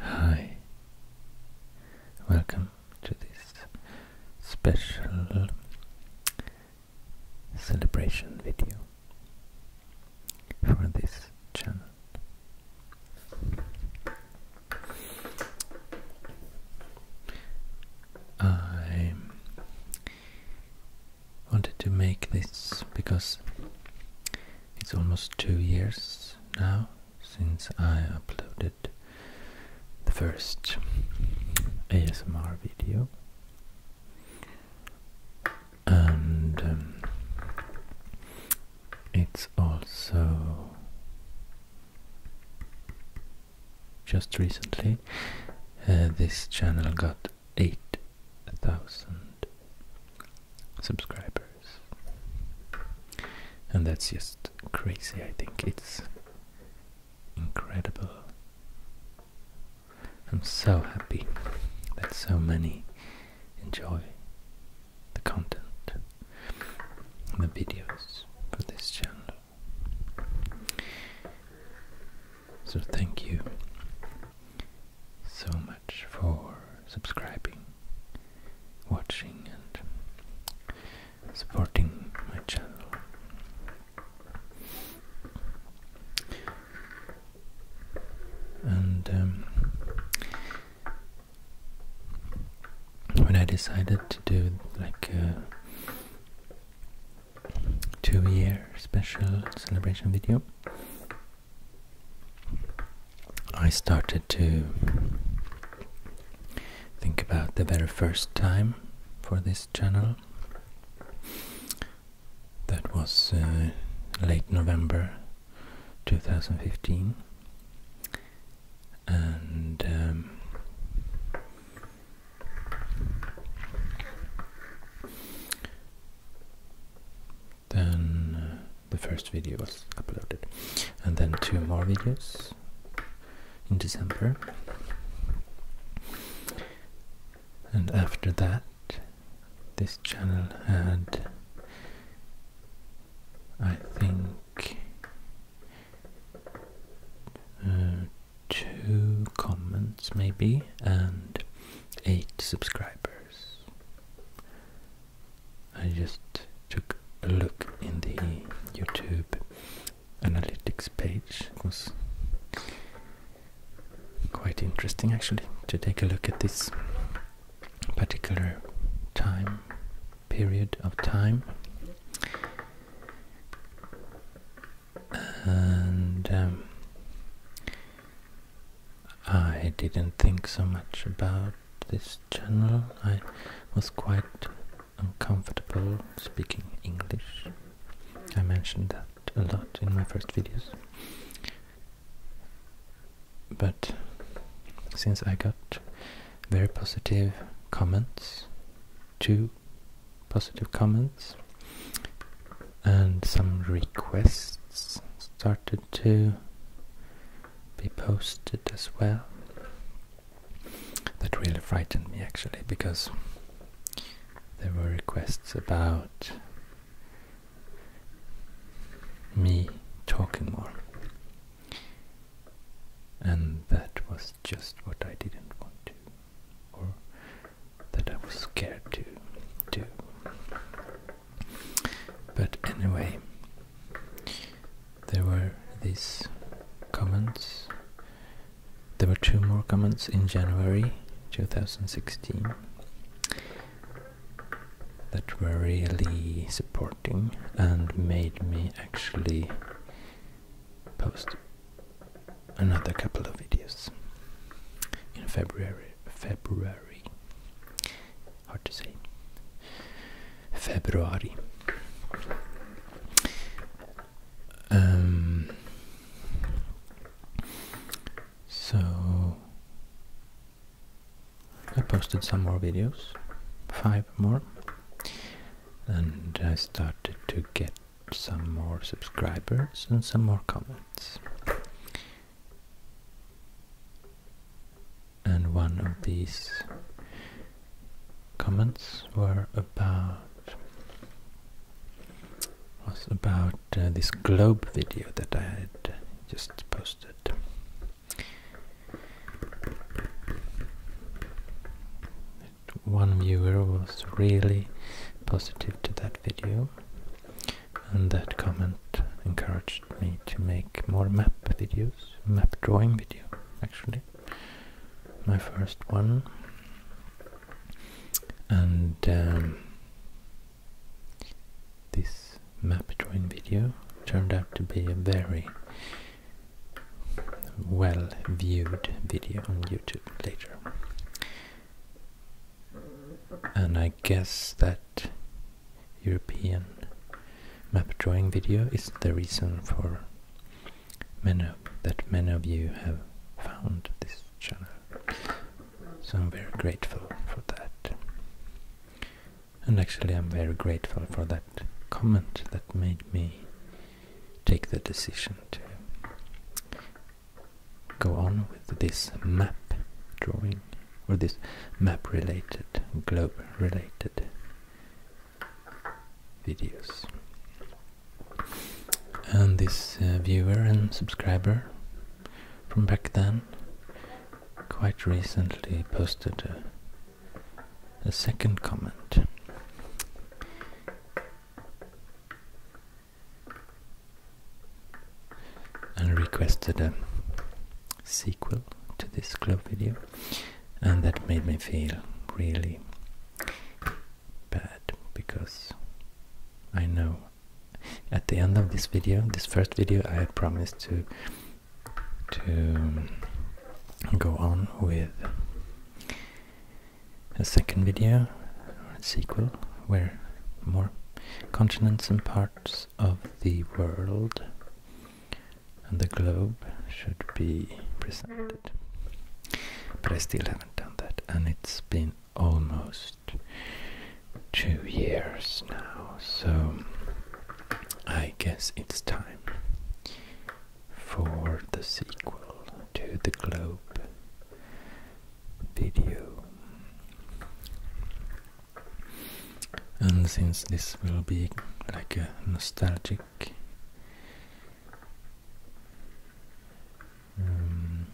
Hi, welcome to this special celebration video for this channel. I wanted to make this because it's almost two years now since I uploaded the first ASMR video and um, it's also just recently uh, this channel got 8,000 subscribers and that's just crazy I think it's incredible I'm so happy that so many enjoy the content and the videos for this channel. So thank you so much for subscribing, watching and supporting my channel and um, when I decided to do like a two-year special celebration video, I started to think about the very first time for this channel. That was uh, late November 2015 and um, then uh, the first video was uploaded and then two more videos in December and after that this channel had, I think, uh, two comments maybe, and eight subscribers. I just took a look in the YouTube analytics page. was quite interesting actually to take a look at this particular time period of time and um, I didn't think so much about this channel. I was quite uncomfortable speaking English. I mentioned that a lot in my first videos. But since I got very positive comments, two positive comments, and some requests started to be posted as well. That really frightened me actually because there were requests about me talking more. And that was just what I didn't want to, or that I was scared to do. But anyway, there were these comments. There were two more comments in January 2016 that were really supporting and made me actually post another couple of videos in February. February. Hard to say. February. Um, so I posted some more videos, five more, and I started to get some more subscribers and some more comments. And one of these comments were about was about uh, this globe video that I had just posted. One viewer was really positive to that video and that comment encouraged me to make more map videos, map drawing video actually. My first one. And um, this map drawing video turned out to be a very well viewed video on YouTube later. And I guess that European map drawing video is the reason for that many of you have found this channel. So I'm very grateful for that. And actually, I'm very grateful for that comment that made me take the decision to go on with this map drawing or this map related, globe related videos. And this uh, viewer and subscriber from back then quite recently posted a, second comment. And requested a sequel to this club video, and that made me feel really bad because I know at the end of this video, this first video, I had promised to to go on with a second video, a sequel, where more continents and parts of the world and the globe should be presented. But I still haven't done that, and it's been almost two years now, so I guess it's time for the sequel to the Globe video. And since this will be like a nostalgic um,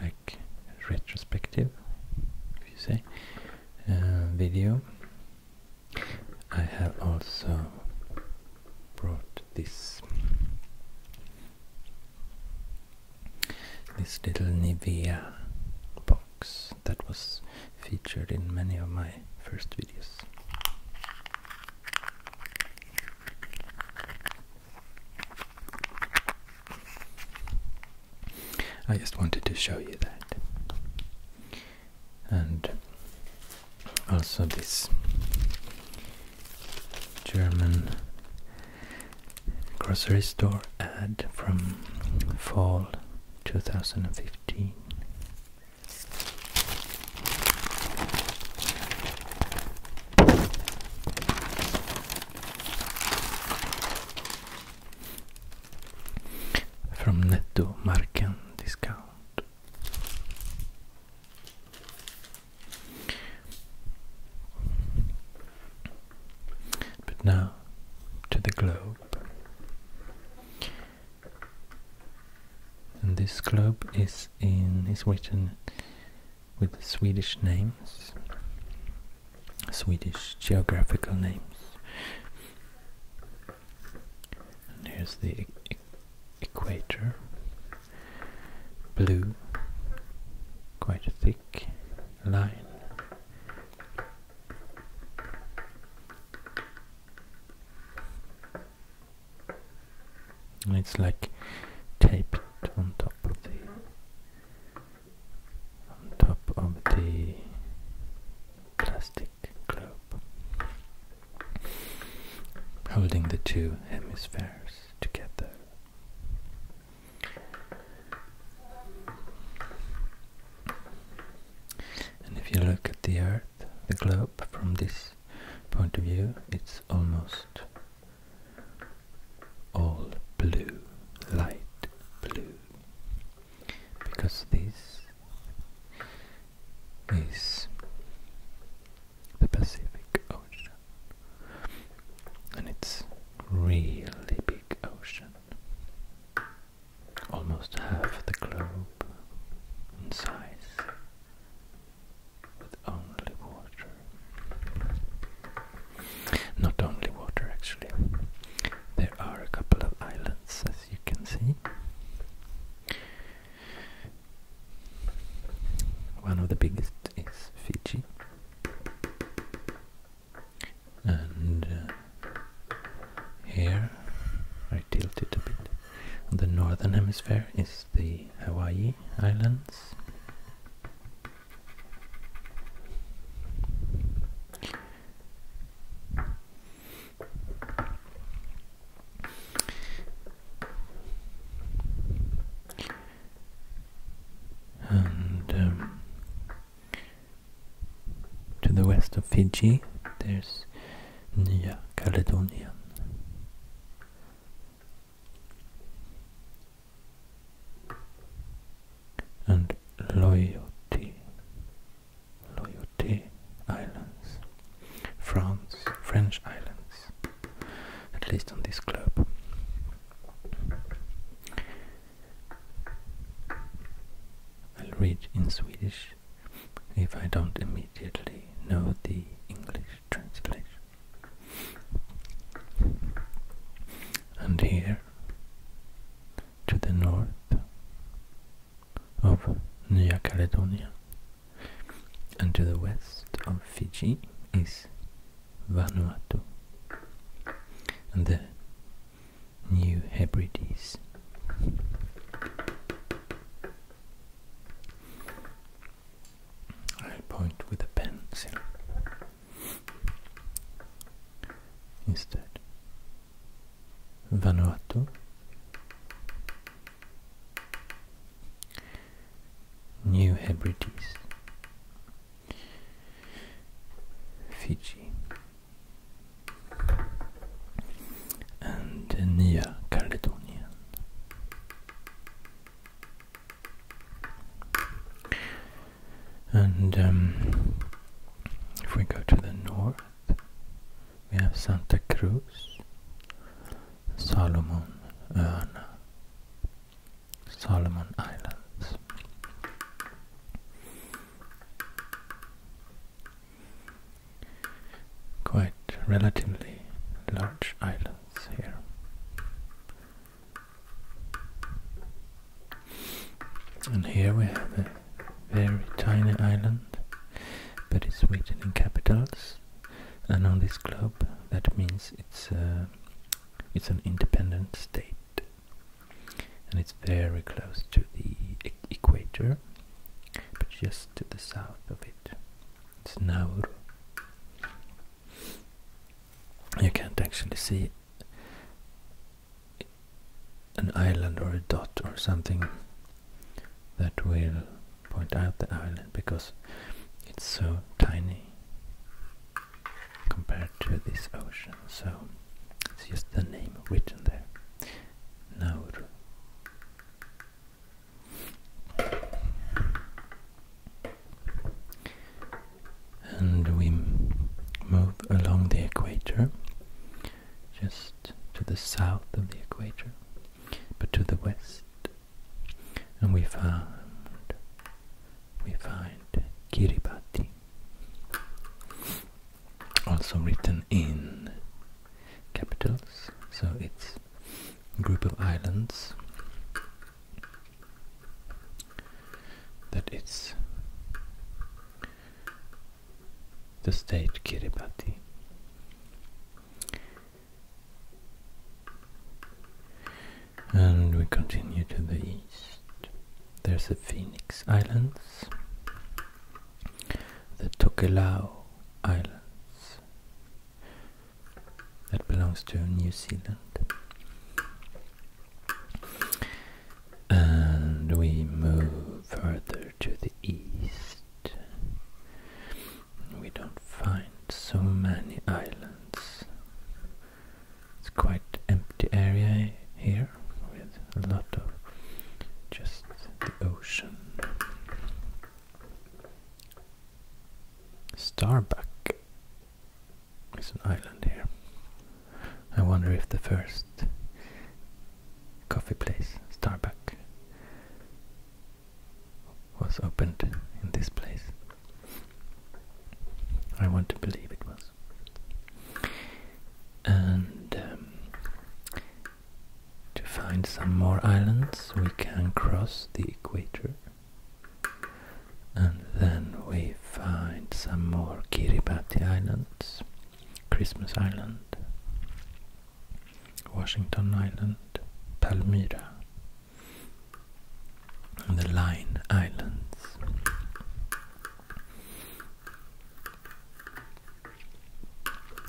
like retrospective, if you say, uh, video. I have also brought this this little Nivea box that was featured in many of my first videos. I just wanted to show you that. And also this German grocery store ad from fall 2015 from Nettomarken discount. But now to the globe. And this globe is in is written with Swedish names Swedish geographical names. There's the equator, blue, quite thick line. And it's like taped on top of the on top of the plastic globe, holding the two hemispheres together. And if you look at the Earth, the globe, from this point of view, it's almost all blue, light blue because this is the Pacific Ocean and it's really big ocean almost half the globe in size with only water not only water actually there are a couple of islands as you can see. One of the biggest is Fiji, and uh, here I tilted a bit. the northern hemisphere is the Hawaii Islands. And um, to the west of Fiji, there's Nya Caledonia and Loyalty Loyauté Islands, France, French islands, at least on this globe. I'll read in Swedish if I don't immediately know the English translation. And here to the north of New Caledonia and to the west of Fiji is Vanuatu and the New Hebrides. I point with a pencil instead. Vanuatu, New Hebrides, Fiji, and New Caledonia. And um, if we go to the north, we have Santa Cruz, Solomon, Erna, Solomon Islands. Quite relatively large islands here. And here we have a very tiny island, but it's written in capitals. And on this globe, that means it's a, uh, it's an independent state, and it's very close to the equator, but just to the south of it. It's Nauru. You can't actually see an island or a dot or something that will point out the island because it's so tiny compared to this ocean so it's just the name written there Now, and we move along the equator just to the south of the equator, but to the west. And we found we find Kiribati, also written in capitals, so it's a group of islands that is the state Kiribati. And we continue to the east. There's the Phoenix Islands, the Tokelau Islands, that belongs to New Zealand and we move further to the east. We don't find so many islands. It's quite empty area here with a lot of just the ocean. Starbuck is an island here. I wonder if the first coffee place, Starbucks, was opened in this place. I want to believe it was. And um, to find some more islands, we can cross the equator. And then we find some more Kiribati Islands Christmas Island, Washington Island, Palmyra, and the Line Islands.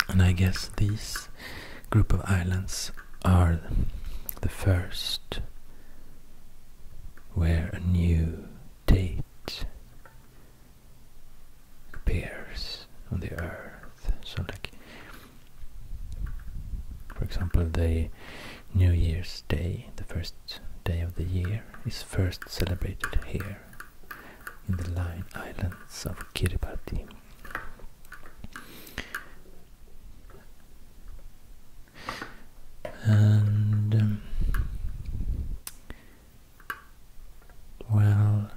And I guess these group of islands are the first where a new date appears on the earth. So, like, for example, the New Year's Day, the first day of the year, is first celebrated here in the Line Islands of Kiribati. And um, well,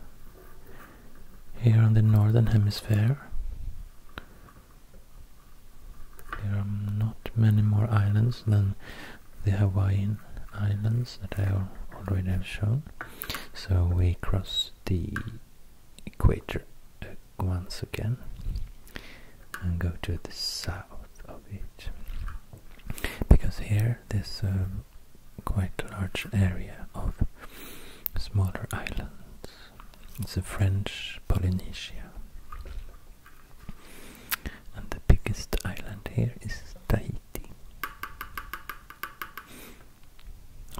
here on the northern hemisphere, there are not many more islands than the Hawaiian Islands that I already have shown. So we cross the equator uh, once again and go to the south of it because here this um, quite a large area of smaller islands. It's a French Polynesia. And the biggest island here is Tahiti.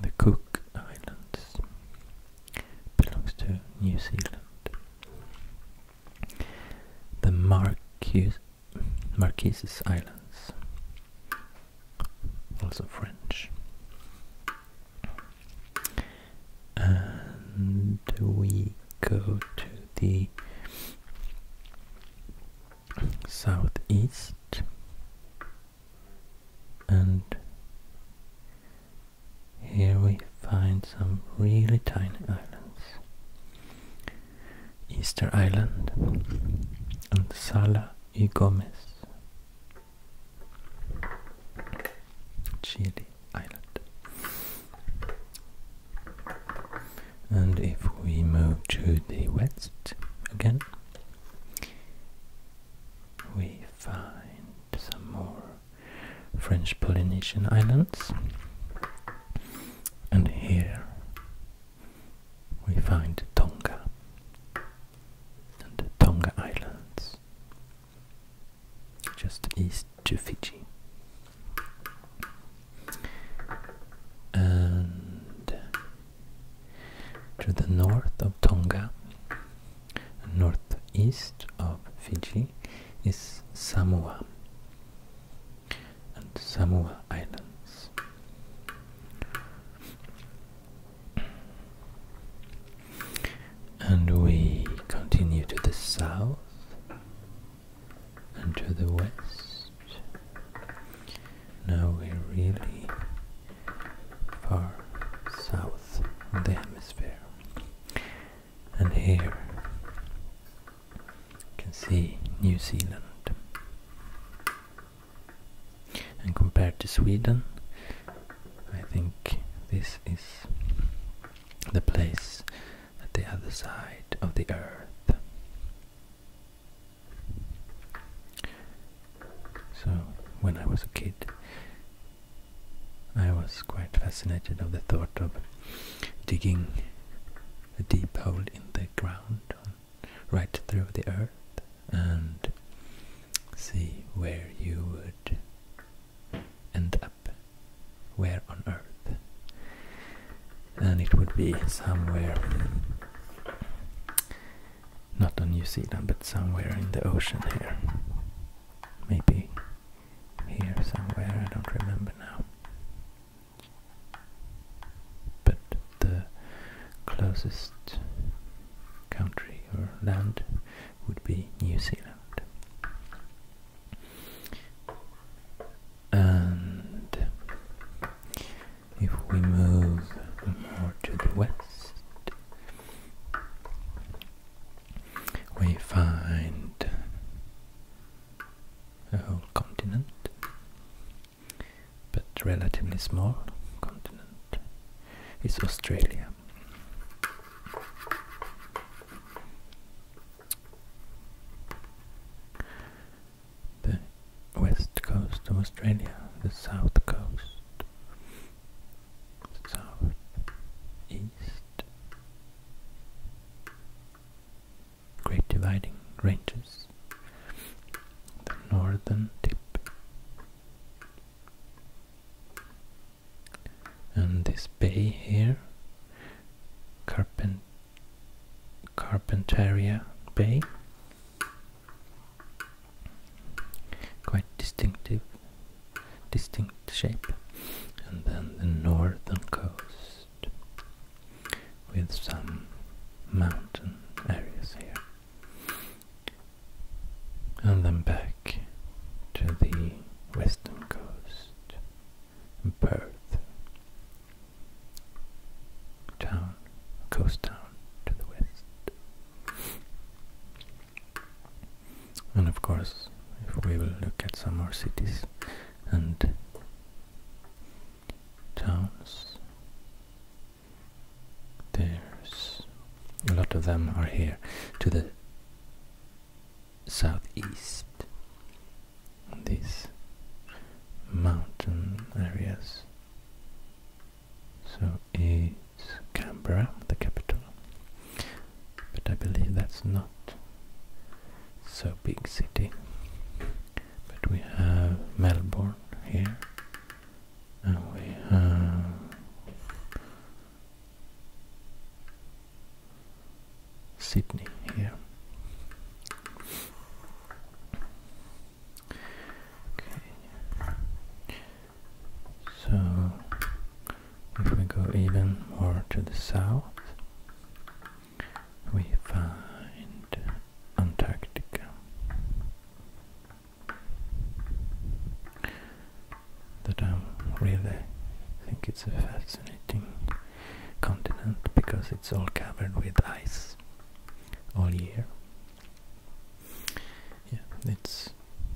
The Cook Islands belongs to New Zealand. The Marquesas Marquesas Islands, also French. And we go to the southeast and here we find some really tiny islands Easter Island and Sala y Gomez Chile Island and if we move to the west again we find some more French Polynesian islands and here we find Tonga and the Tonga Islands, just east to Fiji. And to the north of Tonga, northeast of Fiji, is Samoa and Samoa Islands. And we continue to the south and to the west. Now we're really far south in the hemisphere. And here you can see New Zealand. And compared to Sweden, I think this is the place at the other side of the earth. So, when I was a kid, I was quite fascinated of the thought of digging a deep hole in the ground right through the earth and see where you would end up. Where on earth? And it would be somewhere, not on New Zealand, but somewhere in the ocean here. Maybe here somewhere, I don't remember now but the closest country or land would be New Zealand. And if we move more to the west, we find a whole continent but relatively small continent is Australia. The west coast of Australia, the south coast, south, east, Great Dividing Ranges, the northern tip, and this bay here, Carpentaria Bay, quite distinctive, distinct shape, and then the northern coast with some mountain areas here. And then back to the western coast and Perth town, coast town to the west. And of course, if we will look at some more cities and towns there's a lot of them are here to the southeast. These mountain areas. So it's Canberra, the capital. But I believe that's not so big city. But we have Melbourne here. And we have Sydney here. Okay. So if we go even more to the south, we find Antarctica that I really think it's a fascinating continent because it's all covered with ice all year. Yeah, it's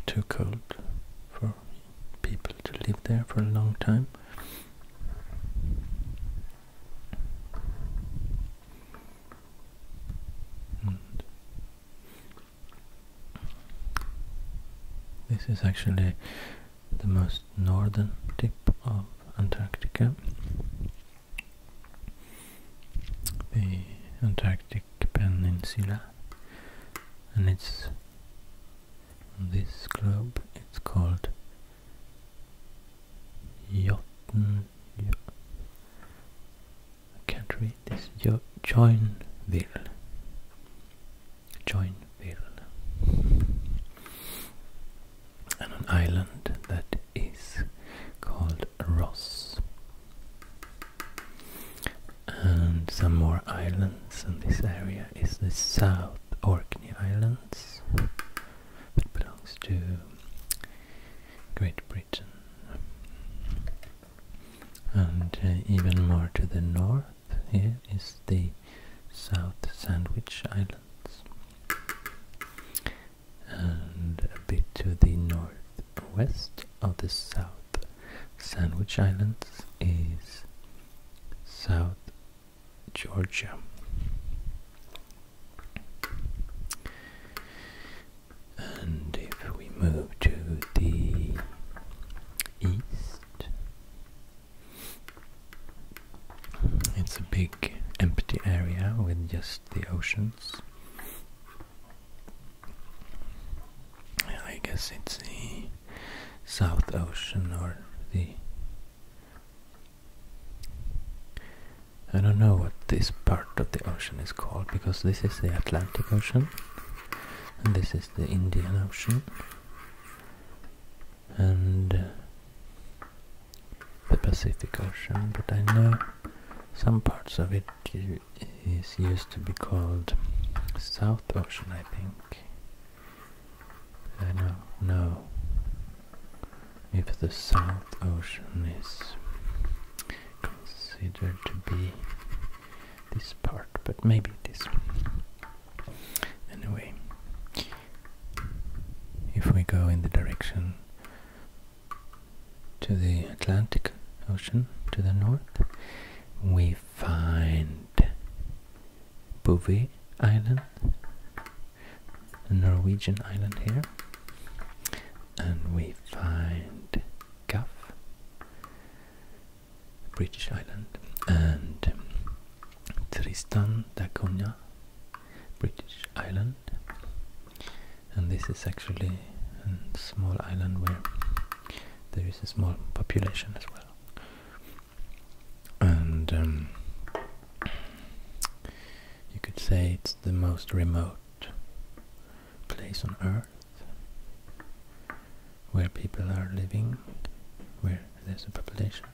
too cold for people to live there for a long time this is actually the most northern tip of Antarctica. The Antarctic Peninsula, and it's on this globe. It's called Jotun, can't read this. Jo Joinville. Joinville. And an island that is called Ross. And some more islands in this area is the South Orkney Islands that belongs to Great Britain. And uh, even more to the north here is the South Sandwich Islands. And a bit to the northwest of the South Sandwich Islands is South Georgia. And if we move to the east, it's a big empty area with just the oceans. I guess it's the South Ocean or the I don't know what this part of the ocean is called because this is the Atlantic Ocean and this is the Indian Ocean and uh, the Pacific Ocean but I know some parts of it is used to be called South Ocean I think I know, no if the South Ocean is considered to be this part, but maybe it is. Anyway, if we go in the direction to the Atlantic Ocean to the north, we find Bouvet Island, Norwegian island here. And we find Guff, British island, and Tristan da Cunha, British island. And this is actually a small island where there is a small population as well. And um, you could say it's the most remote place on earth where people are living, where there's a population.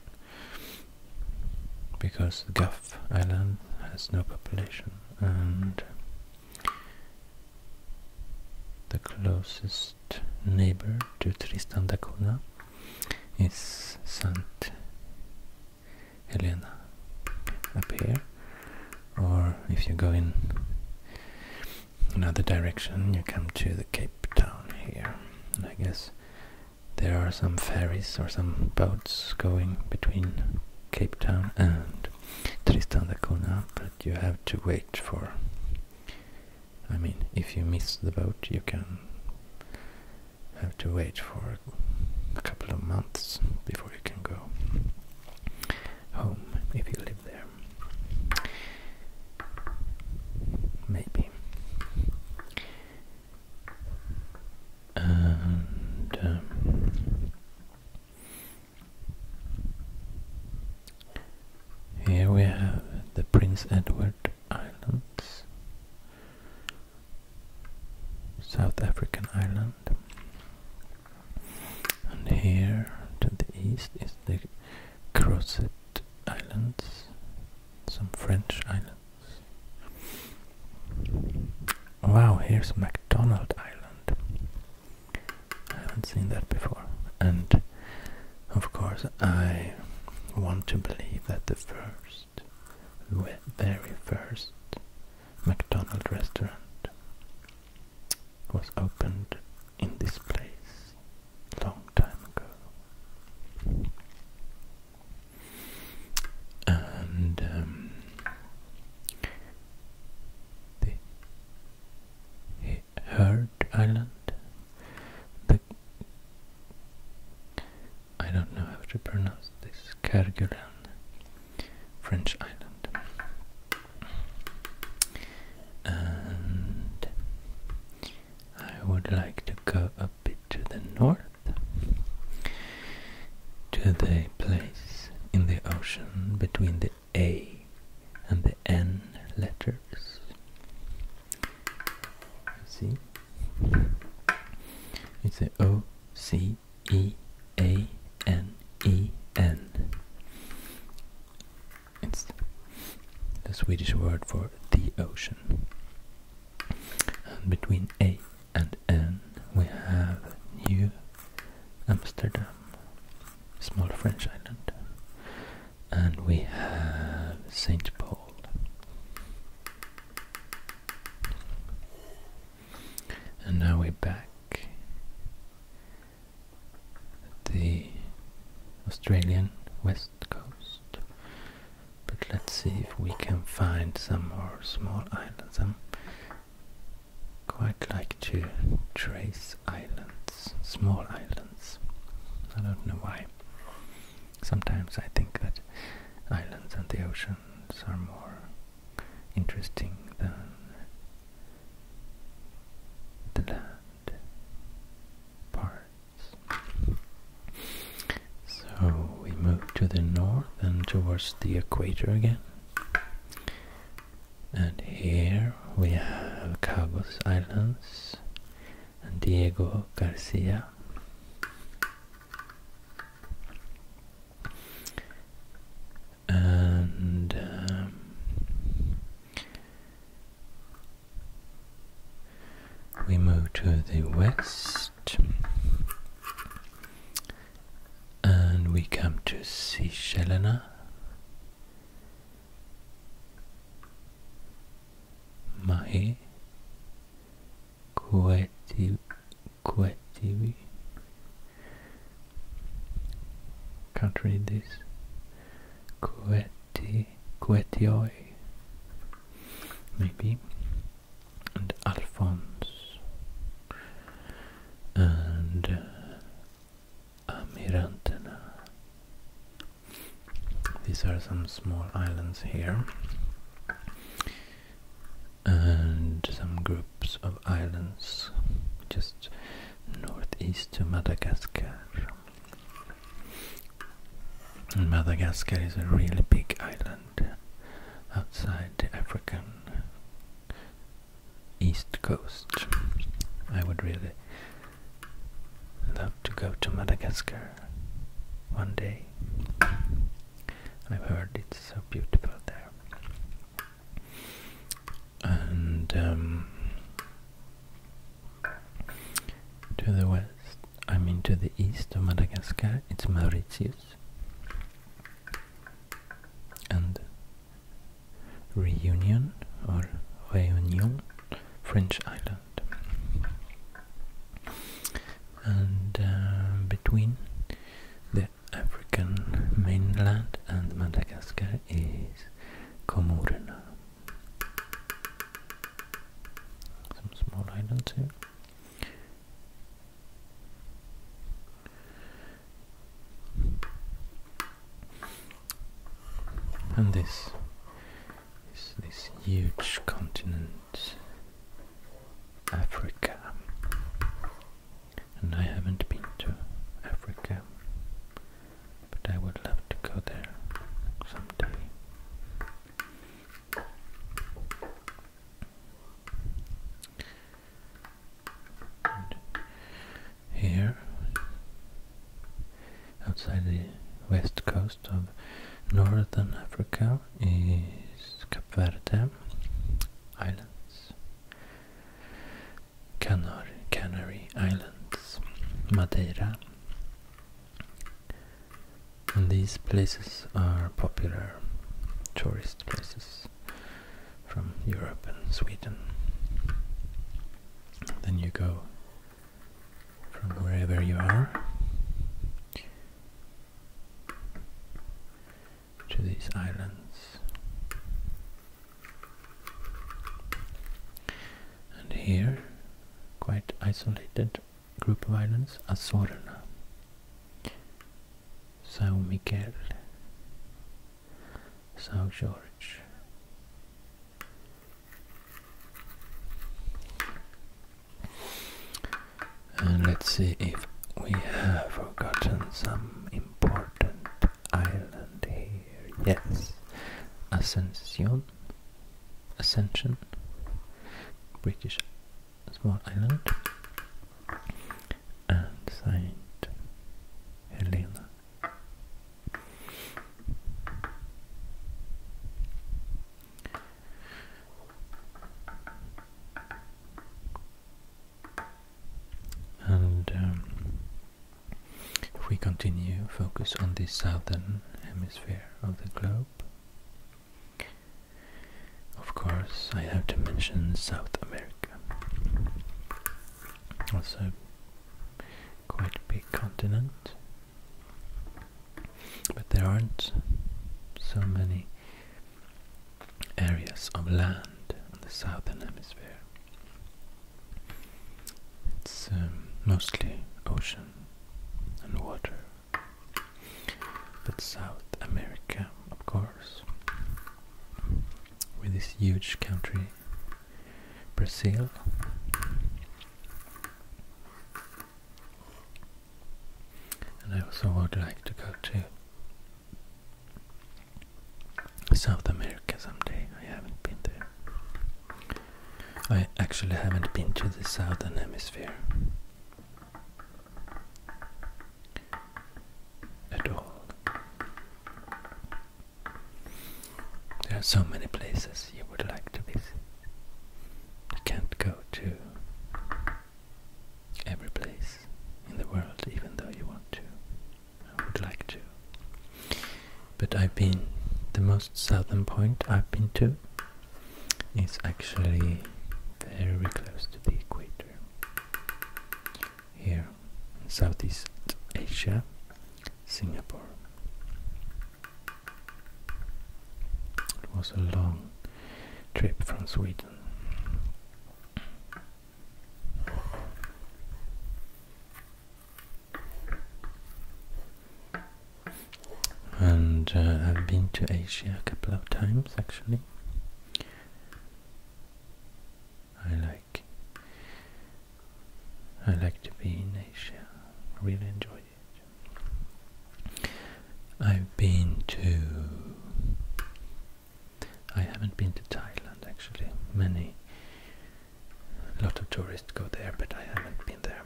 Because Guff Island has no population and the closest neighbor to Tristan da Cunha is Saint. Helena up here or if you go in another direction you come to the Cape Town here I guess there are some ferries or some boats going between Cape Town and Tristan da Cunha but you have to wait for I mean if you miss the boat you can have to wait for a couple of months before you can go home if you live there. Maybe. And um, here we have the Prince Edward Islands, South African islands. And here to the east is the Crozet Islands, some French islands. Wow, here's MacDonald Island. I haven't seen that before. And of course, I want to believe that the first, very first McDonald restaurant was opened in this place long time ago. And um, the Heard Island. The I don't know how to pronounce this. Kerguelen French island. And I would like to go a bit to the north, to the place in the ocean between the A and the N letters. See? It's the O C E A N E N. It's the Swedish word for the ocean. And between A and N we have New Amsterdam, small French island, and we have St. Paul. And now we're back at the Australian west coast. But let's see if we can find some more small islands. I'm quite like to trace islands, small islands. I don't know why. Sometimes I think that islands and the oceans are more interesting the land parts. So we move to the north and towards the equator again. And here we have Cabos Islands and Diego Garcia and um, we move to the west and we come to Seychellena Mahe Kueti Kuwait can't read this Kuwaiti, Kuwaitioi maybe and Alphonse and uh, these are some small islands here and some groups of islands just northeast to Madagascar. And Madagascar is a really big island outside the African east coast. I would really love to go to Madagascar one day. I've heard it's so beautiful there and um, to the west, I mean to the east of Madagascar, it's Mauritius and Reunion or Réunion, French island. And uh, between the African mainland and Madagascar is Comorna. Some small islands here. And this is this huge continent, Africa and I haven't been to Africa, but I would love to go there someday. here, outside the west coast of northern Africa, is Cape Verde Islands. Canar Canary Islands, Madeira. And these places are popular tourist places from Europe and Sweden. Then you go from wherever you are to these islands. And here, quite isolated group of islands, Azorna, São Miguel, São George. And let's see if we have forgotten some important island here. Yes. Ascension. Ascension. British small island. And Saint Helena. And um, if we continue, focus on the southern hemisphere of the globe. Of course, I have to mention South America. Also, quite big continent, but there aren't so many areas of land in the southern hemisphere. It's um, mostly ocean and water, but South America, of course, with this huge country, Brazil. And I also would like to go to South America someday. I haven't been there. I actually haven't been to the southern hemisphere at all. There are so many places you would like to visit. You can't go to every place in the world, even though you want to. I would like to. But I've been the most southern point I've been to is actually very close to the equator. Here in Southeast Asia, Singapore. It was a long trip from Sweden. And uh, I've been to Asia a couple of times actually. I like I like to be in Asia. Really enjoy it. I've been to I haven't been to Thailand actually. Many, a lot of tourists go there, but I haven't been there.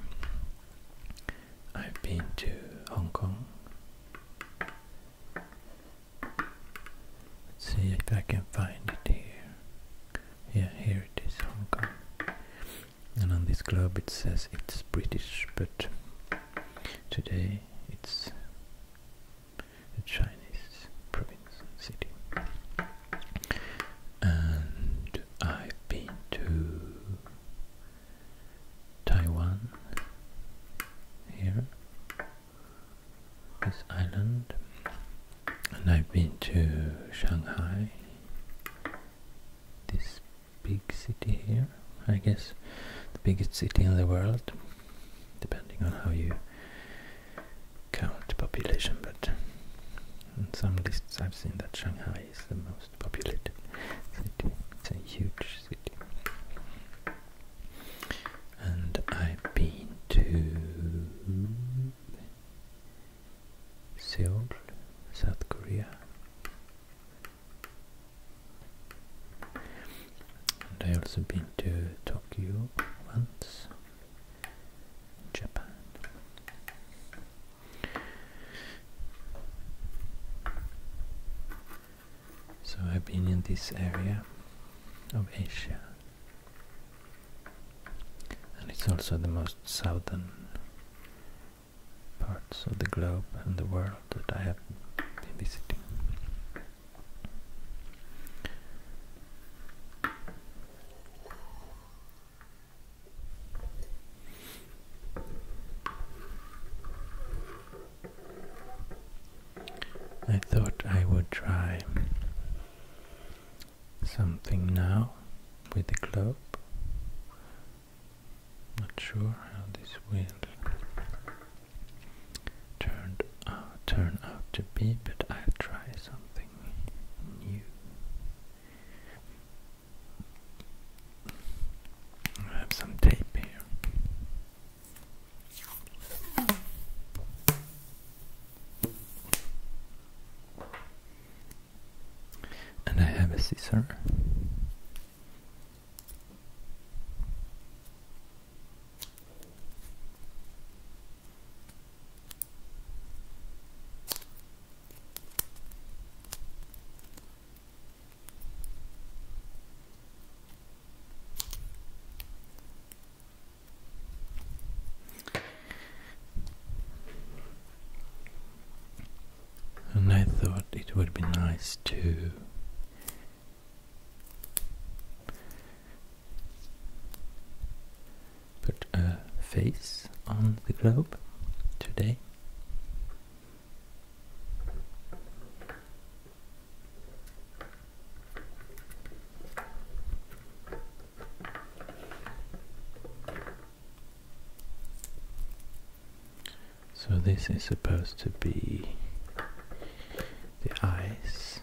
I've been to Hong Kong. Let's see if I can find it here. Yeah, here it is, Hong Kong. And on this globe it says it's British, but today it's a Chinese province and city. And I've been to Taiwan here, this island, and I've been to Shanghai, this big city here, I guess the biggest city in the world, depending on how you count population, but in some lists I've seen that Shanghai is the most populated city. It's a huge city. And I've been to Seoul, South Korea. And I also been to Tokyo once. Japan. So I've been in this area of Asia, and it's also the most southern parts of the globe and the world that I have been visiting. I thought I would try something now with the globe. Not sure how this will turned out, uh, turn out to be, but I'll try something. I have some tape here. And I have a scissors. And I thought it would be nice to Put a face on the globe today. So this is supposed to be the eyes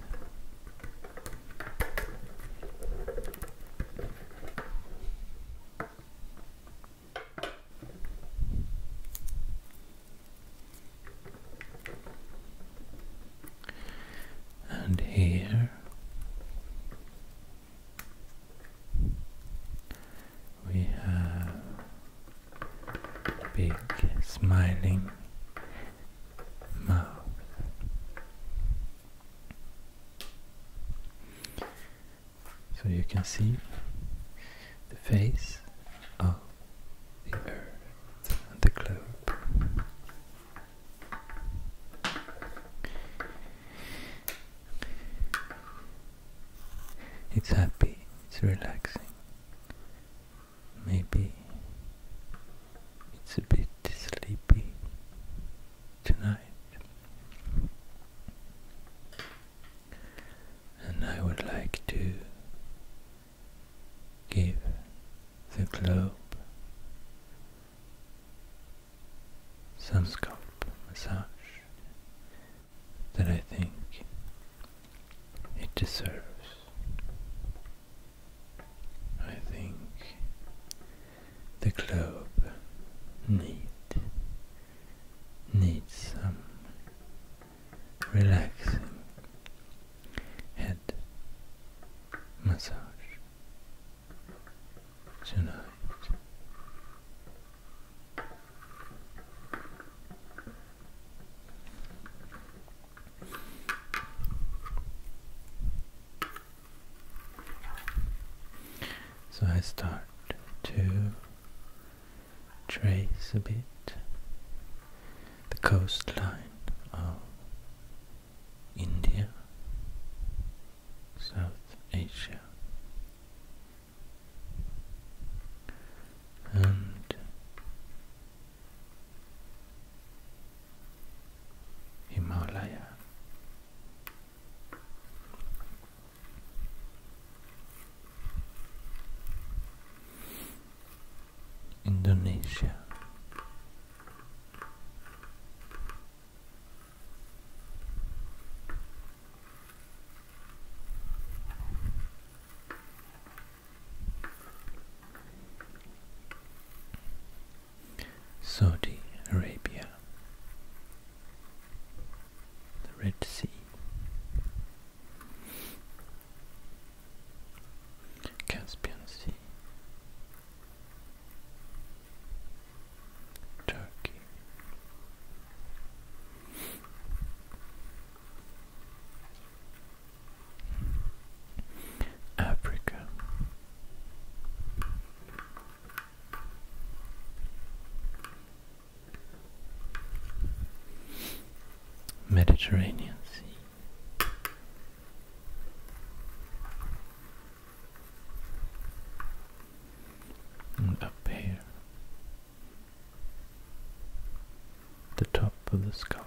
and here we have big smiling so you can see the face of the earth the globe. It's happy, it's relaxing. Maybe it's a bit sleepy tonight. And I would like to give the globe some scalp massage that I think it deserves. I think the globe need needs some relaxing head massage tonight. So I start to trace a bit the coastline of India, South Asia, and Himalaya. Indonesia. Saudi Arabia, the Red Sea. Caspian Sea, Turkey, Africa, Mediterranean Sea. up here, the top of the scalp,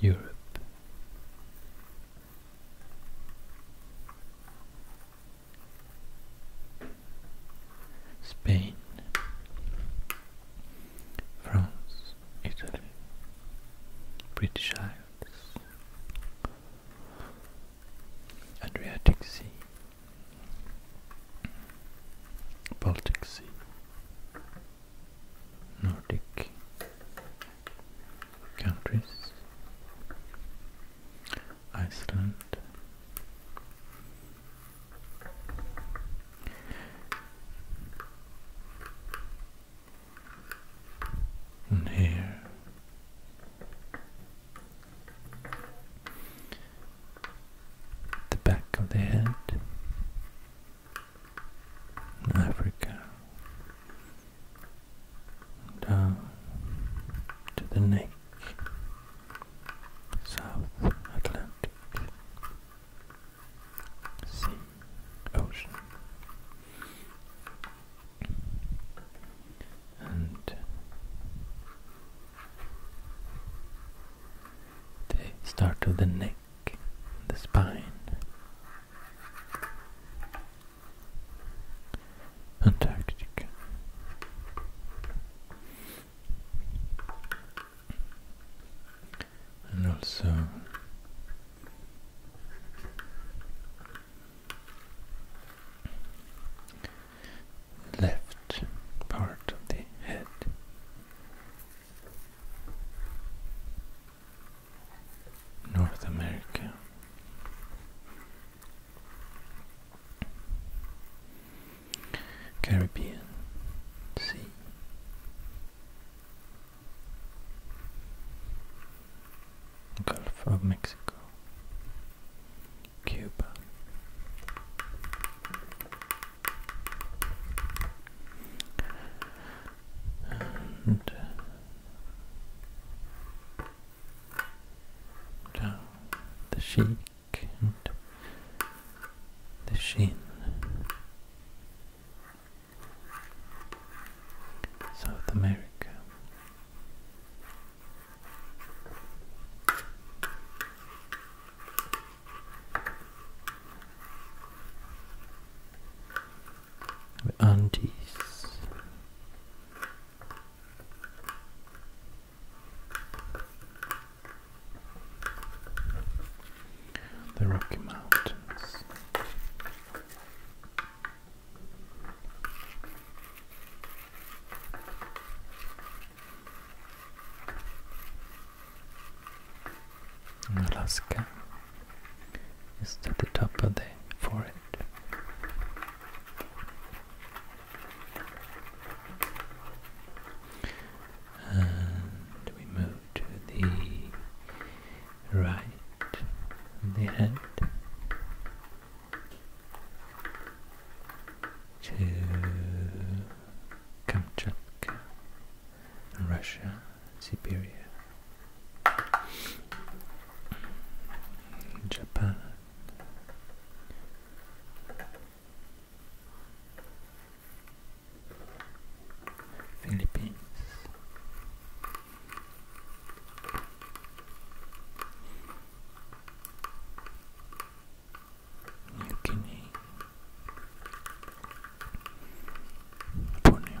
Europe, Spain, France, Italy, British Isles, Adriatic Sea, Baltic Sea, Nordic countries, Iceland. And here the back of the head, Africa down to the neck, South Atlantic Sea Ocean. And they start with the neck, the spine, Antarctica. And also left part of the head North America. Caribbean Sea. Gulf of Mexico. Cuba. Uh, and the sheik and the sheen, South America. The Andes, The Rocky Mountains. Alaska is at the top of the forehead. And we move to the right of the head to Kamchatka, Russia. Siberia, Japan. Philippines, New Guinea, Borneo,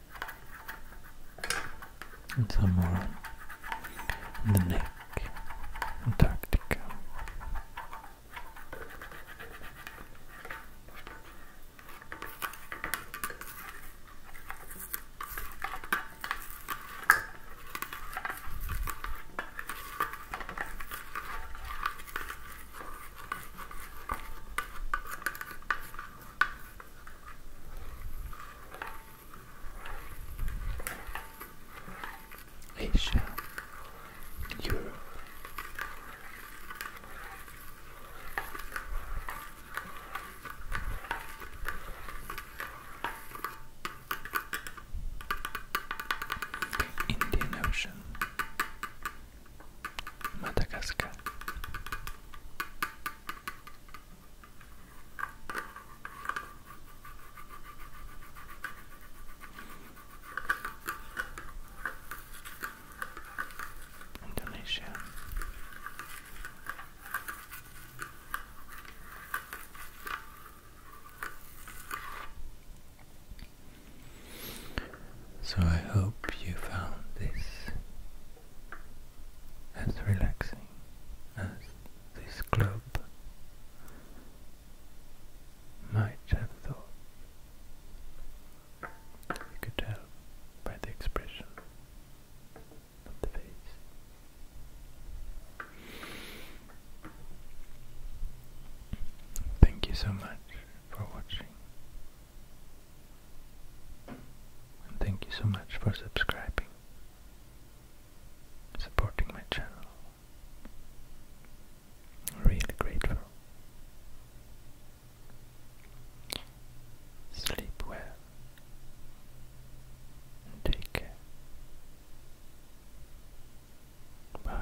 and some more on the neck, Antarctica. Asia, Europe. Indian Ocean, Madagascar, Indonesia. So I hope you found this as relaxing as this club might have thought. You could tell by the expression of the face. Thank you so much for watching. And thank you so much for subscribing supporting my channel. Really grateful. Sleep well take care. Bye.